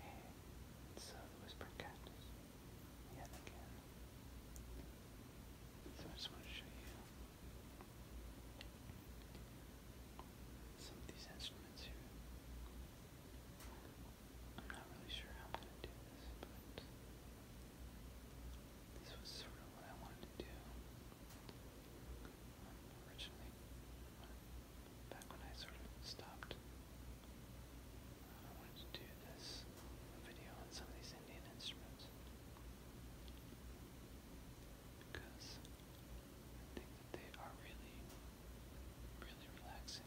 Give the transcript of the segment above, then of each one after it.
And so the Whisper Cactus, yet again. So I just want to show you some of these instruments here. I'm not really sure how I'm going to do this, but this was sort of what I wanted to do um, originally, back when I sort of stopped, I wanted to do this video on some of these Indian instruments because they are really, really relaxing.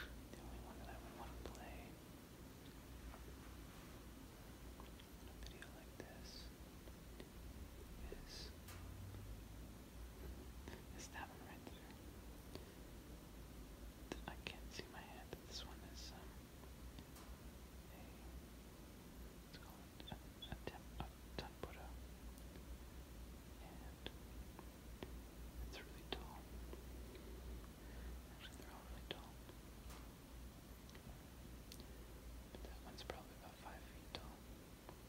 The only one that I would want to play in a video like this Yes. It's that one right there. I can't see my hand, this one is um a let a, a, it's really tall. Actually they're all really tall. that one's probably about five feet tall.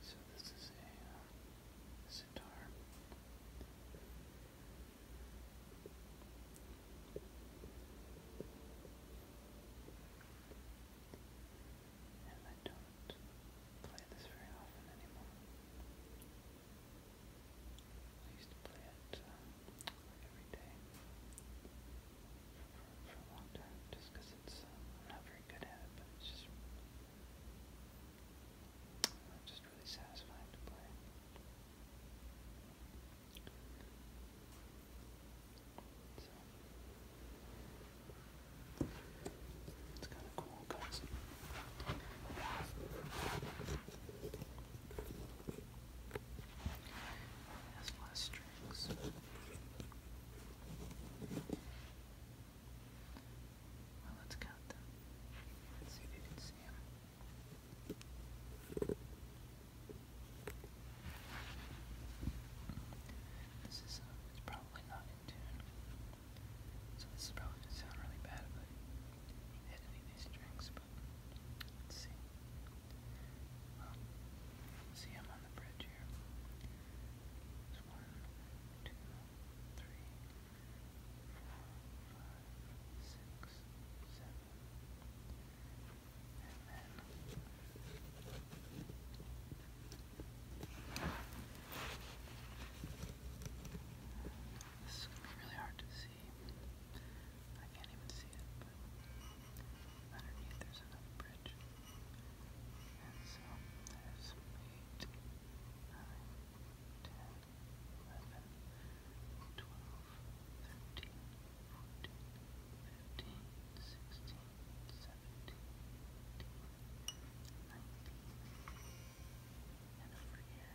So this is a uh, sitar. And I don't play this very often anymore. I used to play it uh, every day for, a long time just because it's, um, not very good at it, but it's just I'm just really satisfied to play. it's kind of cool concept. It less strings let's count them. Let's see if you can see him. This is uh, it's probably not in tune, so this is probably gonna sound really bad if I these strings. But let's see. Um, see, i on the bridge here. one, two, three, five, six, seven, and then this is gonna be really hard to see. I can't even see it, but underneath there's another bridge. And so there's eight, nine, ten, eleven, twelve, thirteen, fourteen, fifteen, sixteen, seventeen, eighteen, nineteen. And over here,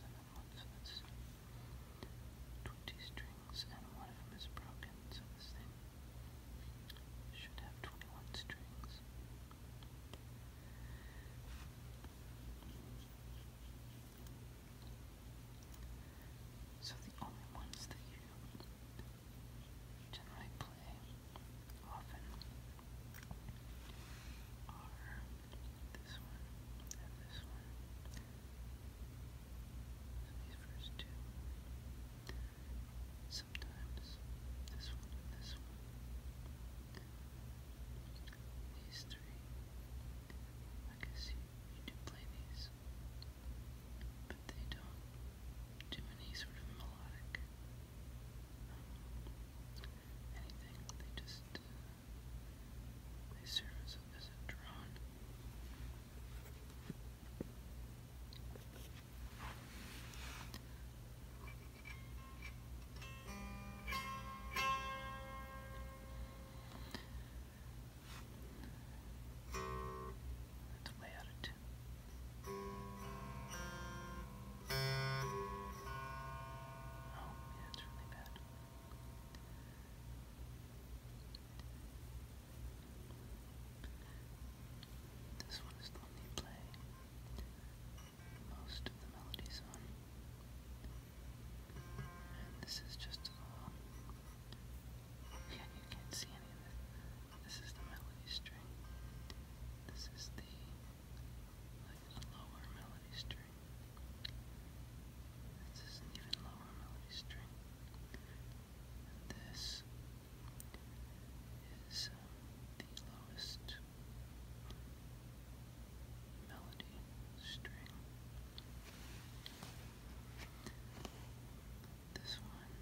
another one, so that's twenty strings, and one of them is broken, so this thing should have twenty-one strings. So the only ones that you generally play often are this one and this one. these first two. Sometimes this one and this one. These three. I guess you, play these. But they don't do any sort of melodic uh, anything. They just they um, uh, serve as a drone. That's weird. Oh, yeah, it's really bad. This one is lonely play most of the melodies on. And this is just Yeah, you can't see any of this. This is the melody string. This is the like lower melody string. This is an even lower melody string. And this is um, the lowest melody string. This one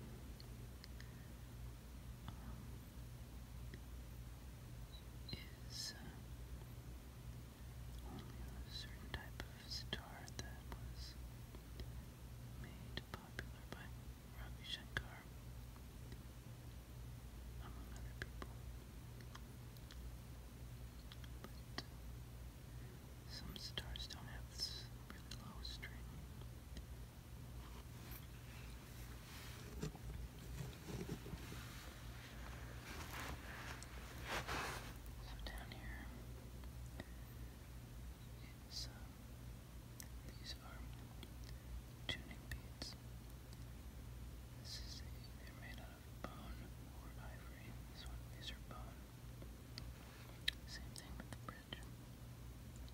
um, is uh, only a certain type of sitar that was made popular by Ravi Shankar among other people. But some stars don't have this low string. So down here, it's uh, these are tuning beads. This is they're made out of bone or ivory. This one, these are bone. Same thing with the bridge.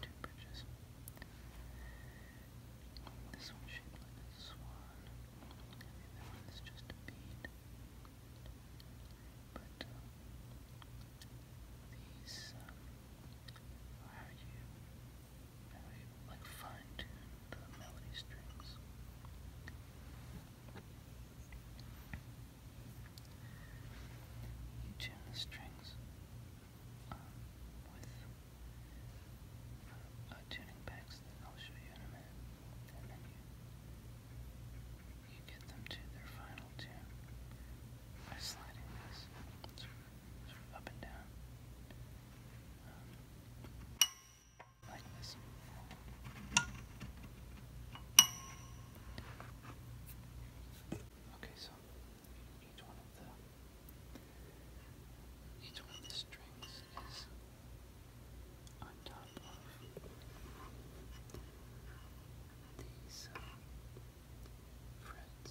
Two bridges. This one's shaped like a swan. I mean, one is just a bead. But uh, these um, are you you tune the strings um, with uh, tuning packs I'll show you in a minute, and then you, get them to their final tune by sliding this sort of up and down, um, like this. Okay, so each one of the each one of the strings is on top of these uh, frets.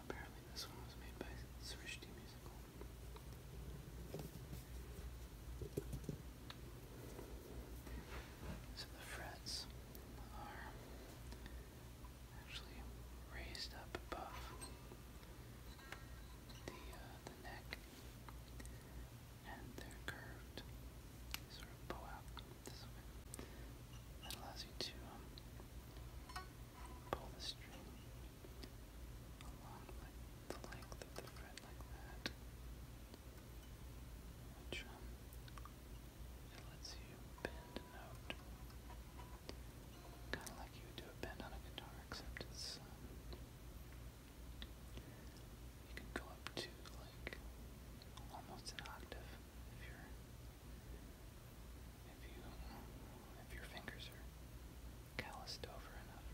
Apparently, this one was made by Srishti Musical. So the frets are actually raised up above the uh, the neck and they're curved. sort of bow out That allows you to um, pull the string along like the length of the thread like that, which um, lets you bend a note, kind of like you would do a bend on a guitar, except it's um, you can go up to like almost an octave if you if you if your fingers are calloused over enough.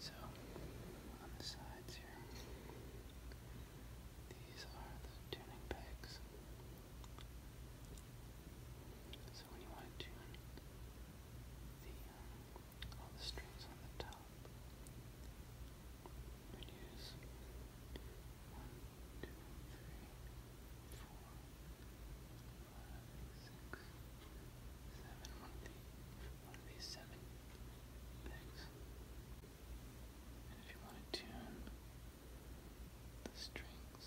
So on the sides here, these are the tuning pegs. So when you want to all the strings on the top. Reduce one, two, three, four, five, six, seven. One And if you want to tune the strings,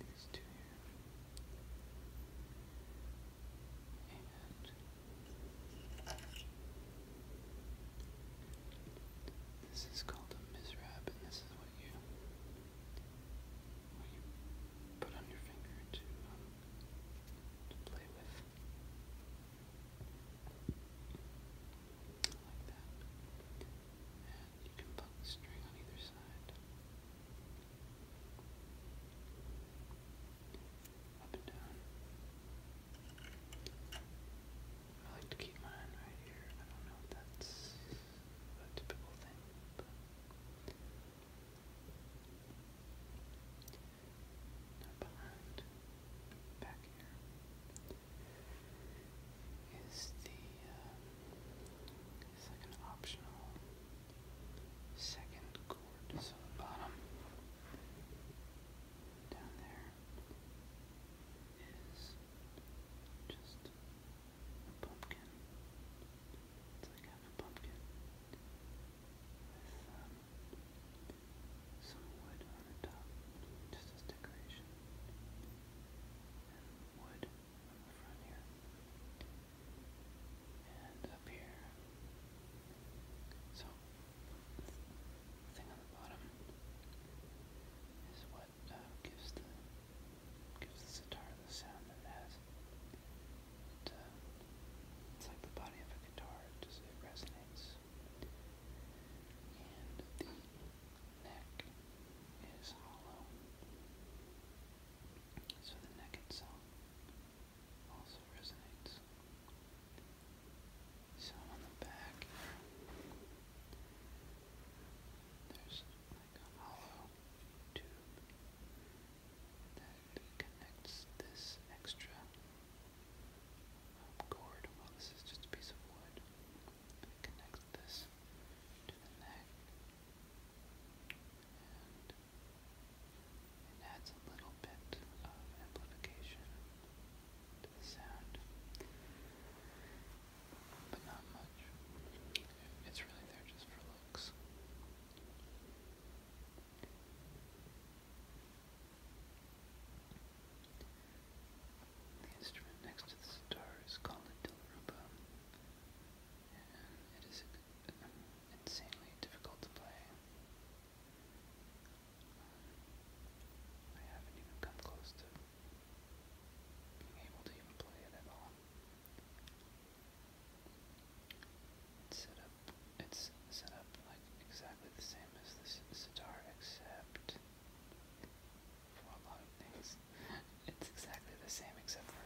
These two here. And this is called a miswrap, and this is what you put on your finger um, to play with, like that. You can pull the string on either side. I like to keep mine right here. I don't know if that's a typical thing, but behind. Back here is the um, optional second chord, so the bottom down there is just a pumpkin. It's like a pumpkin with um, some wood on the top, just as decoration and wood on the front here. And up here. So, the thing on the bottom is what uh, gives the gives the sitar the sound that it has. Uh, it's like the body of a guitar, it just resonates. And the neck is hollow. So the neck itself also resonates. So on the back, there's like a hollow tube that connects this extra um, cord. Well, this is just a piece of wood connect this to the neck, it adds a little bit of amplification to the sound, but not much. It's really there just for looks. The instrument next to the sitar is called a dilruba, and it is um, insanely difficult to play. I haven't even come close to being able to even play it at all. set up. It's set up like exactly the same as the sitar, except for a lot of things. It's exactly the same except for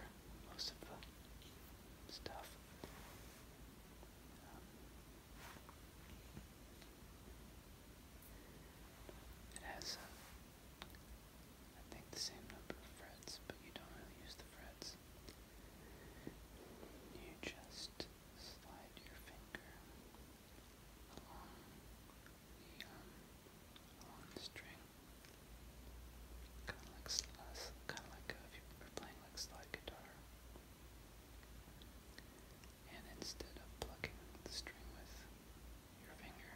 most of the stuff. it has, uh, I think, the same number of frets, but you don't really use the frets. You just slide your finger along the um, string. Kind of like kind of like if you were playing like slide guitar. And instead of plucking the string with your finger,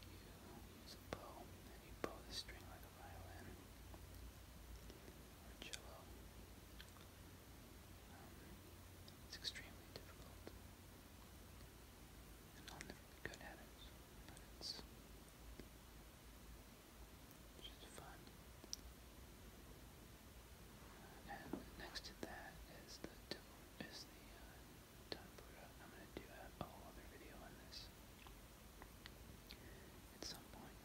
you use a bow and you bow the string like a violin or cello. it's extremely difficult and I'm not good at it, but it's just fun. And next to that is the is the uh, I'm gonna do a whole other video on this at some point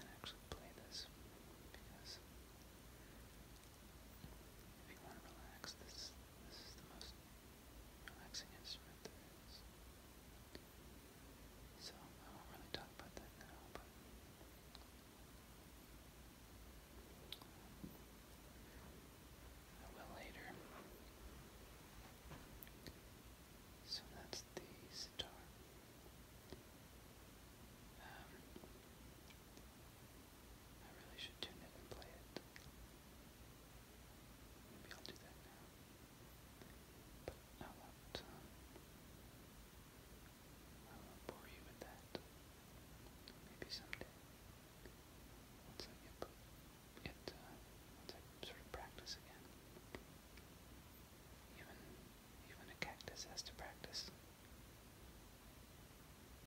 and actually play this because if you want to relax, this this is the most relaxing instrument there is. So I won't really talk about that now, but I will later. So that's the sitar. Um, I really should tune it and play it. Maybe I'll do that now. But I won't, uh, I won't bore you with that. Maybe someday. Once I get, get uh, sort of practice again. Even, even a cactus has to practice.